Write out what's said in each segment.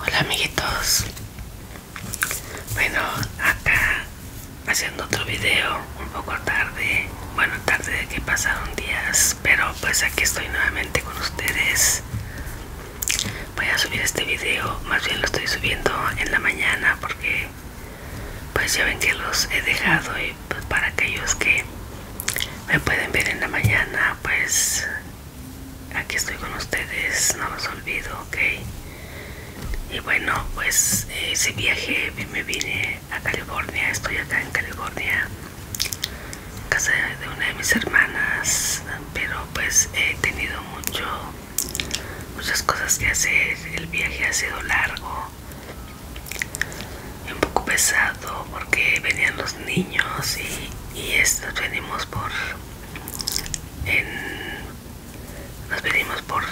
Hola amiguitos Bueno, acá haciendo otro video un poco tarde Bueno, tarde de que pasaron días Pero pues aquí estoy nuevamente con ustedes Voy a subir este video, más bien lo estoy subiendo en la mañana Porque pues ya ven que los he dejado Y pues para aquellos que me pueden ver en la mañana Pues aquí estoy con ustedes, no los olvido, ok. Y bueno, pues eh, ese viaje me vine a California, estoy acá en California, casa de una de mis hermanas, pero pues he tenido mucho, muchas cosas que hacer, el viaje ha sido largo y un poco pesado porque venían los niños y y venimos por nos venimos por,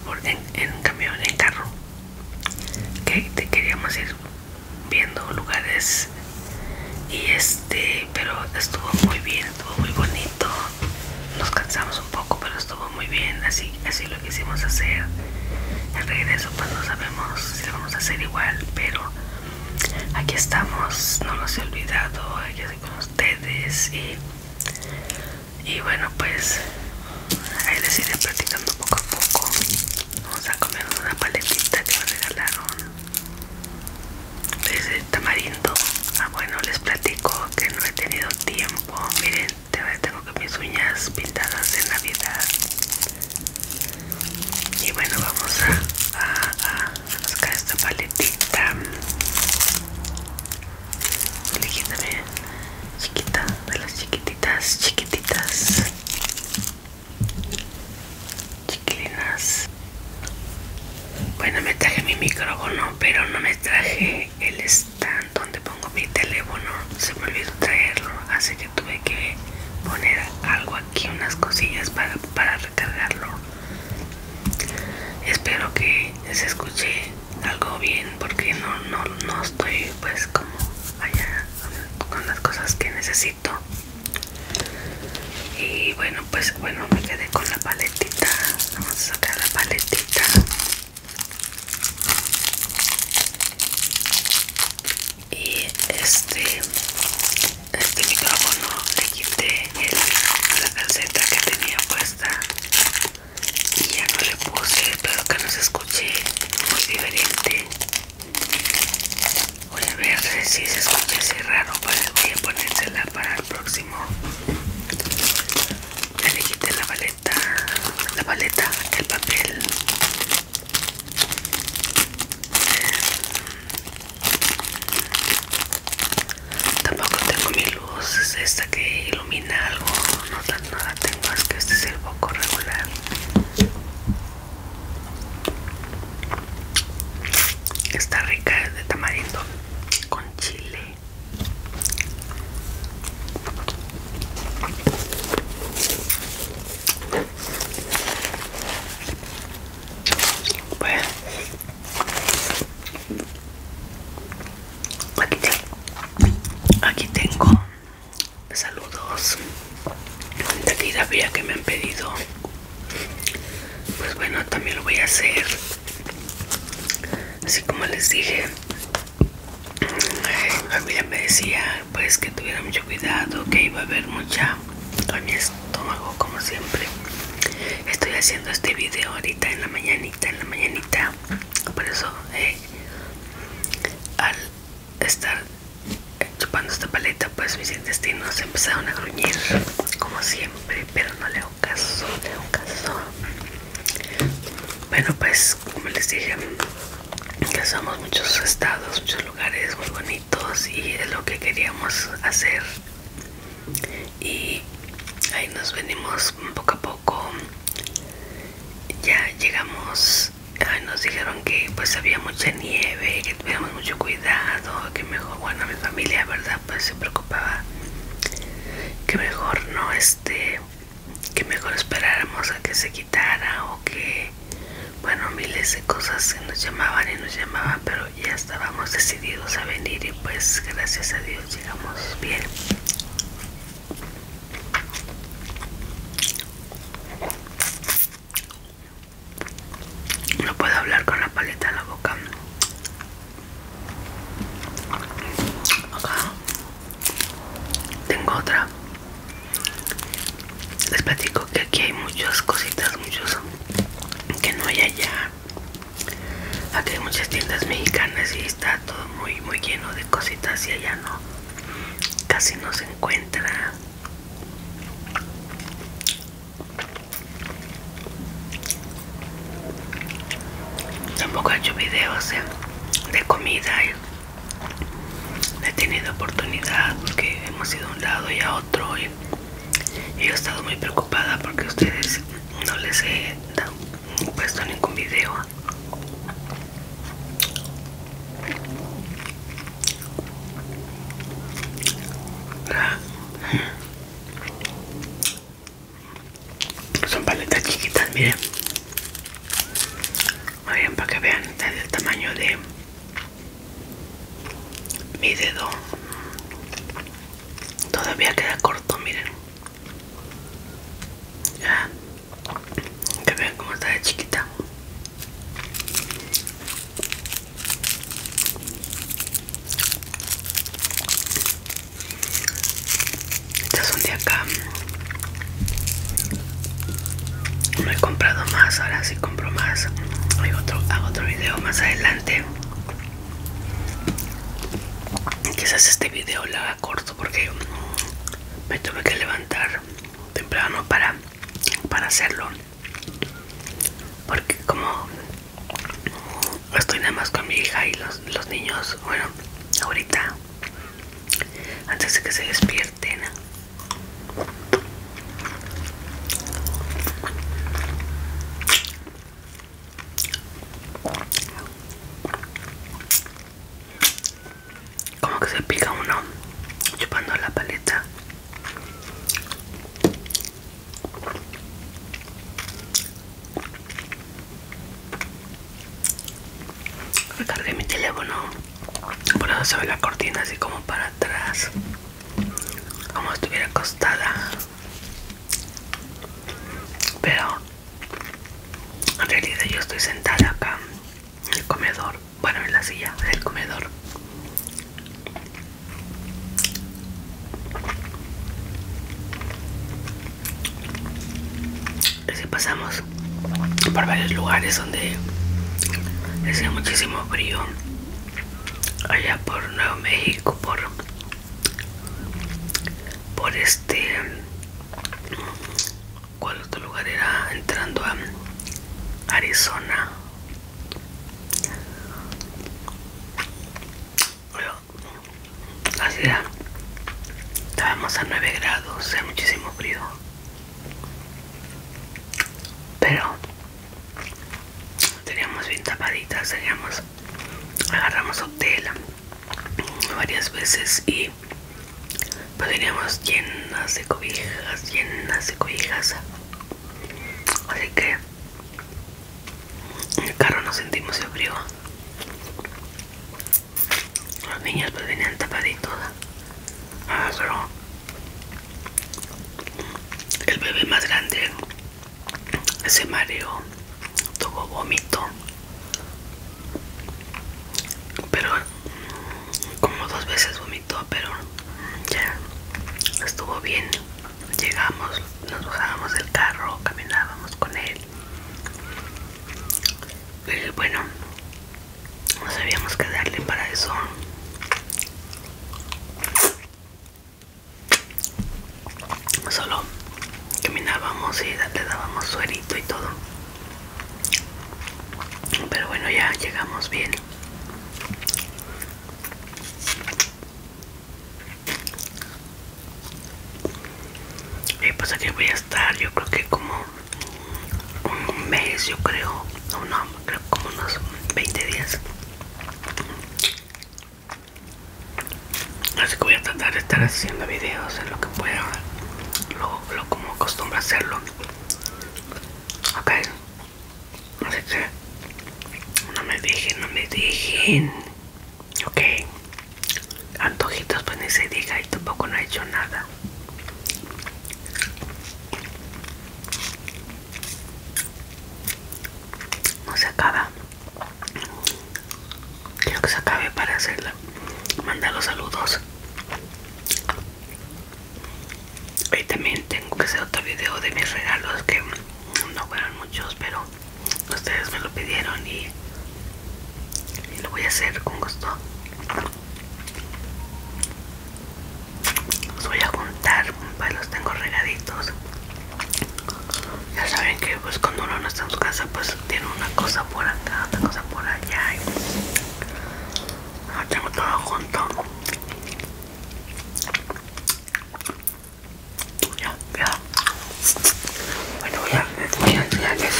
por, en, camión, en carro que te queríamos ir viendo lugares y este pero estuvo muy bien estuvo muy bonito nos cansamos un poco pero estuvo muy bien así así lo quisimos hacer el regreso pues no sabemos si vamos a hacer igual pero Aquí estamos, no los he olvidado, aquí estoy con ustedes y, y bueno pues ahí les iré platicando poco a poco. Vamos a comer una paletita que me regalaron. Es tamarindo. Ah bueno, les platico que no he tenido tiempo. Miren, tengo que mis uñas pintadas de navidad y bueno vamos a, buscar esta paletita eligiéndome chiquita de las chiquititas chiquititas chiquilinas bueno me traje mi micrófono pero no me traje el stand donde pongo mi teléfono se me olvidó traerlo así que tuve que poner algo aquí aquí unas cosillas para, recargarlo espero que se escuche algo bien porque no, no, no estoy pues como allá con las cosas que necesito y bueno pues bueno me quedé con la paletita vamos a sacar la paletita y este este micrófono le quité la calceta que tenía puesta y ya no le puse pero que no se escuche muy diferente voy a ver si se escucha así raro voy a ponérsela para el próximo ya le quité la paleta la paleta el papel Tampoco tengo mi luz, esta que ilumina algo, no, tan nada tengo, es que este es el poco regular. Está rica, de tamarindo con chile. Bueno. Aquí, tengo saludos de que me han pedido. Pues bueno, también lo voy a hacer. Así como les dije, mi me decía pues que tuviera mucho cuidado, que iba a haber mucha en mi estómago como siempre estoy haciendo este video ahorita en la mañanita en la mañanita por eso eh, al estar chupando esta paleta pues mis intestinos empezaron a gruñir como siempre pero no le hago caso le hago caso bueno pues como les dije Casamos muchos estados, muchos lugares muy bonitos y es lo que queríamos hacer. Y ahí nos venimos poco a poco. Ya llegamos, ahí nos dijeron que pues había mucha nieve, que tuviéramos mucho cuidado, que mejor, bueno, mi familia, verdad, pues se preocupaba que mejor no este que mejor esperáramos a que se quitara o que bueno miles de cosas que nos llamaban y nos llamaban pero ya estábamos decididos a venir y pues gracias a Dios llegamos bien no puedo hablar con la paleta en la boca acá tengo otra les platico que aquí hay muchas cositas muchos que no hay allá aquí hay muchas tiendas mexicanas y está todo muy muy lleno de cositas y allá no casi no se encuentra tampoco he hecho videos eh, de comida y he tenido oportunidad porque hemos ido a un lado y a otro y, yo he estado muy preocupada porque ustedes no les he puesto ningún video ah. son paletas chiquitas miren bien, para que vean el tamaño de mi dedo todavía queda corto miren que vean cómo está de chiquita es son de acá no he comprado más ahora sí compro más hay hago otro video más adelante quizás este video lo haga corto porque me tuve que levantar temprano para para hacerlo porque como estoy nada más con mi hija y los niños bueno ahorita antes de que se despierten como que se pica uno chupando la paleta. Recargué mi teléfono por eso se ve la cortina así como para atrás como estuviera acostada pero en realidad yo estoy sentada acá en el comedor bueno en la silla del comedor Así si pasamos por varios lugares donde hacía muchísimo frío allá por Nuevo México por por este cuál otro lugar era entrando a Arizona así estábamos a 9 grados, hacía muchísimo frío pero teníamos bien tapaditas agarramos tela varias veces y pues veníamos llenas de cobijas llenas de cobijas así que en el carro nos sentimos de frío los niños pues venían tapaditos pero ah, el bebé más grande se mareó, tuvo vómito, pero como dos veces vomitó, pero ya estuvo bien. Llegamos, nos bajábamos del carro, caminábamos con él. Y bueno, no sabíamos qué darle para eso solo caminábamos y le dábamos suerito y todo pero bueno ya llegamos bien y pues aquí voy a estar yo creo que como un mes yo creo No, no creo como unos 20 días así que voy a tratar de estar haciendo videos en lo que pueda lo, como acostumbro hacerlo ok no me dejen no me dejen ok antojitos pues ni se diga y tampoco no he hecho nada no se acaba. Quiero que se acabe para hacerla. Mandar los saludos. Hoy también tengo que hacer otro video de mis regalos que no fueron muchos, pero ustedes me lo pidieron y lo voy a hacer con gusto. Los voy a juntar, los tengo regaditos. Ya saben que pues cuando uno no está en su casa pues tiene una cosa por acá, otra cosa por allá. Ahora tengo todo junto. Ya, ya. Bueno, voy a, voy a enseñarles.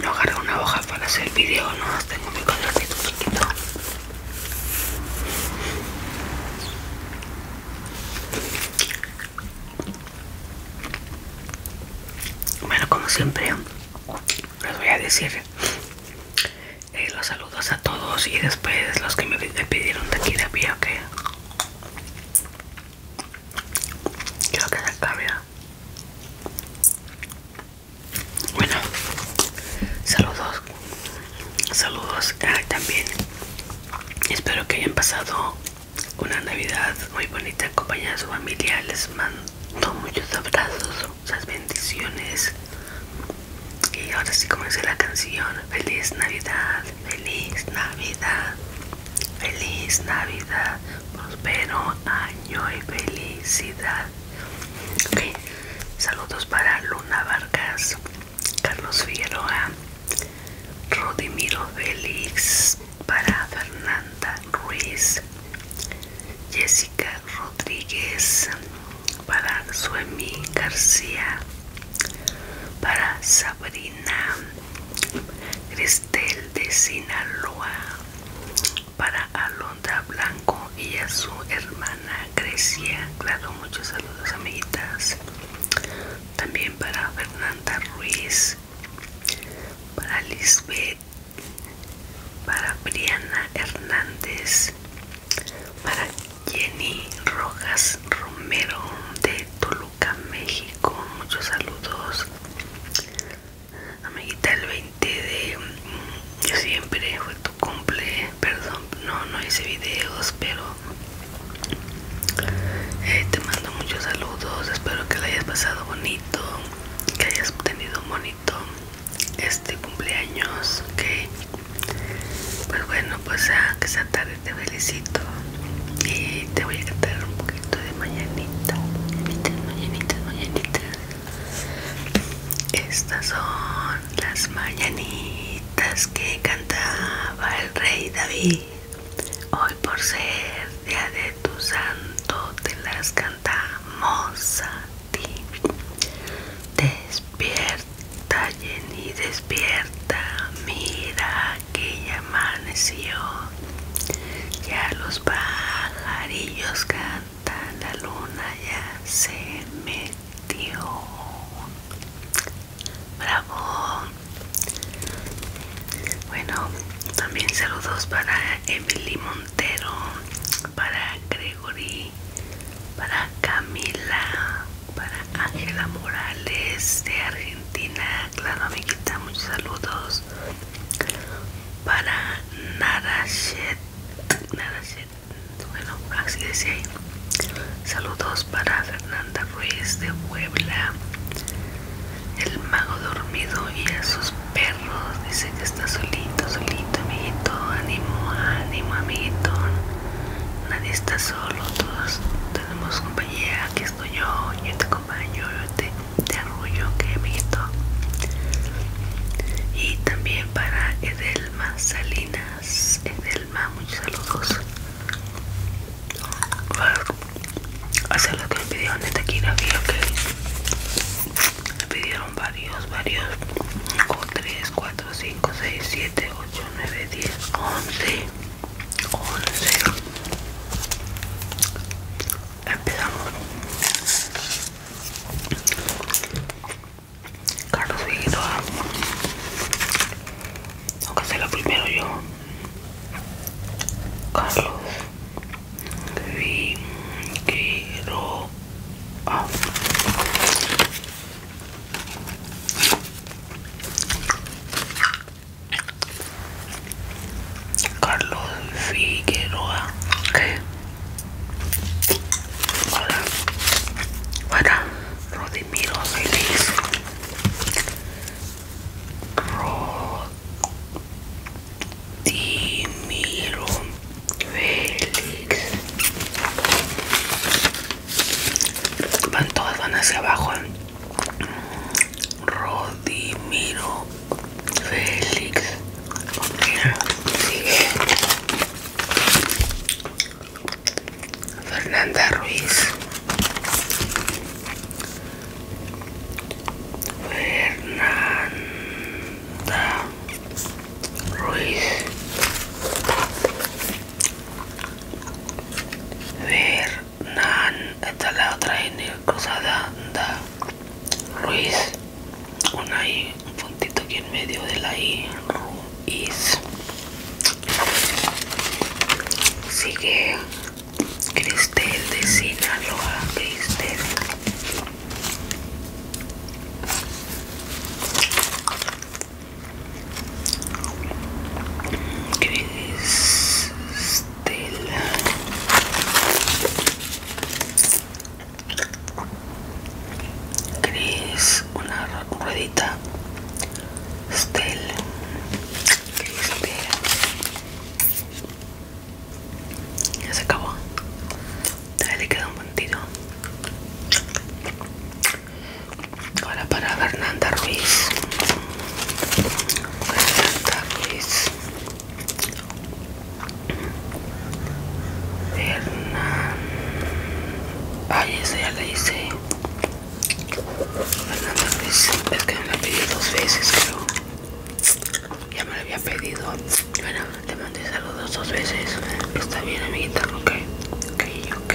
No agarro una hoja para hacer el video, no tengo mi cuadernito chiquito. Bueno, como siempre, les voy a decir eh, los saludos a todos y después los que me pidieron de de ok. Creo que se acabe Bueno, saludos. Saludos eh, también. Espero que hayan pasado una Navidad muy bonita acompañada su familia. Les mando muchos abrazos, muchas bendiciones. Y ahora sí, comencé la canción, feliz Navidad, feliz Navidad, feliz Navidad, prospero año y felicidad. Saludos para Luna Vargas, Carlos Figueroa, Rodimiro Félix, para Fernanda Ruiz, Jessica Rodríguez, para Suemi García, para Sabrina Cristel de Sinaloa para Alondra Blanco y a su hermana Grecia. Claro, muchos saludos, amiguitas. También para Fernanda Ruiz, para Lisbeth, para Briana Hernández, para Jenny Rojas Romero de Toluca. México. Muchos saludos. Amiguita, el 20 de mm, siempre fue tu cumple. Perdón, no, no hice videos, pero eh, te mando muchos saludos. Espero que lo hayas pasado bonito, que hayas tenido bonito este cumpleaños. Ok, pues bueno, pues a ah, que sea tarde te felicito y te voy a cantar un poquito de mañanita. Mañanita, Mañanita, Estas son las mañanitas que cantaba el rey David. Hoy por ser día de tu santo te las cantamos a ti. Despierta, Jenny, despierta, mira que ya amaneció, ya los pajarillos cantan, la luna ya se metió. Bravo. Bueno, también saludos para Emily Montero, para Gregory, para Camila, para Ángela Morales de Argentina, claro amiguita, muchos saludos. Para Nada Narashet, bueno, así decía ahí. Saludos para Fernanda Ruiz de Puebla, el mago dormido y a sus perros. Dice que está solito, solito, amiguito. Ánimo, ánimo, amiguito. Nadie está solo, todos tenemos compañía y aquí estoy yo, yo este acompaño, yo te, arrullo, que he visto. Y también para Edelma Salinas, Edelma, muchos saludos. Hacer lo que me pidieron desde aquí, David, ok. Me pidieron varios, varios. 3, 4, 5, 6, 7, 8, 9, 10, 11. 11 empezamos Carlos tengo que primero yo Carlos Carlos Figueroa. ¿qué? Hola. Para Rodimiro Félix Rodimiro Félix. Van todas van hacia abajo. ¿eh? Rodimiro Félix. Fernanda Ruiz. Fernanda Ruiz ver esta es la otra N cruzada, da Ruiz, una I, un puntito aquí en medio de la I, Ruiz. Sigue Cristel de Sinaloa, Cristel. Cristela Cris, una ruedita Stel Cristela Ya se acabó Dale le queda un puntito Ahora para Fernanda Ruiz. Fernanda Ruiz. Fernanda. Ay, esa ya la hice. Fernanda Ruiz. Es que me la pedí dos veces, pero Ya me la había pedido. Bueno, te mandé saludos dos veces. Está bien, amiguita, ok. Ok, ok.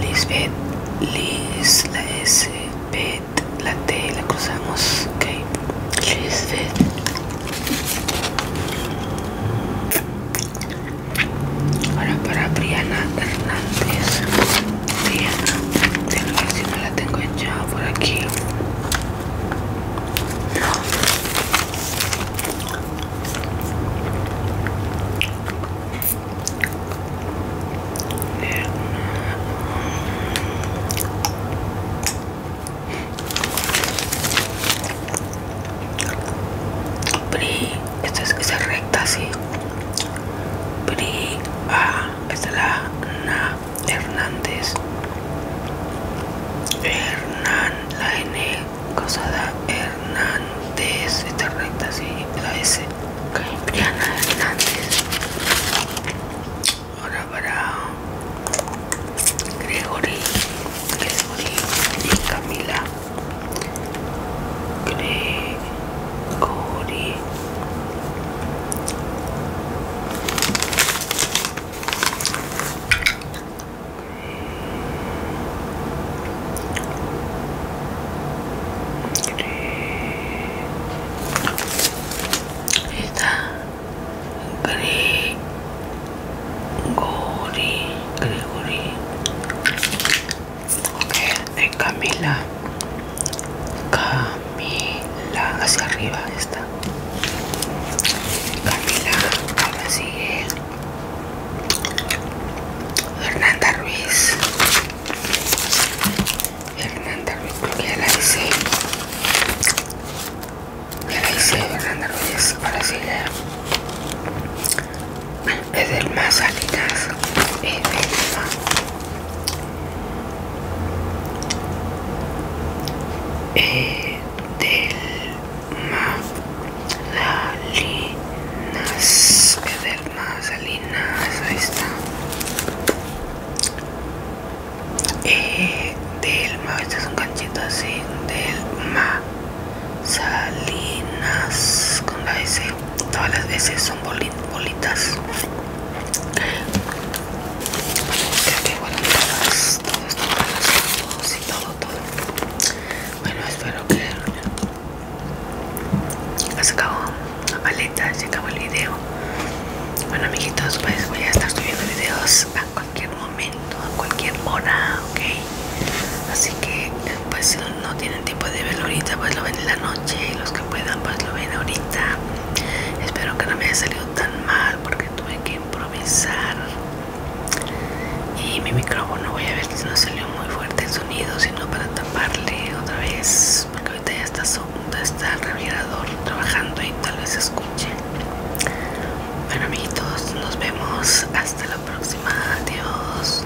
Lisbeth, Liz, la S, Beth, la T, la cruzamos, ok. Lisbeth. Ahora para Briana Hernández. Diana, tengo si me la tengo ya por aquí. No Pri, esta es esa recta así. Pri, ah es Esta la Hernández Hernán la N cosada Hernández esta recta sí la S Caimbriana Hernández ahora para Gregory Gregory y Camila 氷グリゴリグリゴリ ok Camila Camila hacia arriba está Camila ahora sigue Hernanda Ruiz Hernanda Ruiz creo que ya la hice ya la hice Hernanda Ruiz ahora sigue es del más salinas, es eh, ma Salinas ma Salinas ahí está eh, ma este es un canchito así del ma Salinas con la S todas las veces son bolitas bueno y todo todo bueno espero que se acabó la paleta se acabó el video bueno amiguitos pues voy a estar subiendo videos a cualquier momento a cualquier hora ok así que pues no tiene Tipo de verlo ahorita pues lo ven en la noche y los que puedan pues lo ven ahorita espero que no me haya salido tan mal porque tuve que improvisar y mi micrófono voy a ver si no salió muy fuerte el sonido sino para taparle otra vez porque ahorita ya está, son está el revirador trabajando y tal vez se escuche bueno amiguitos nos vemos hasta la próxima adiós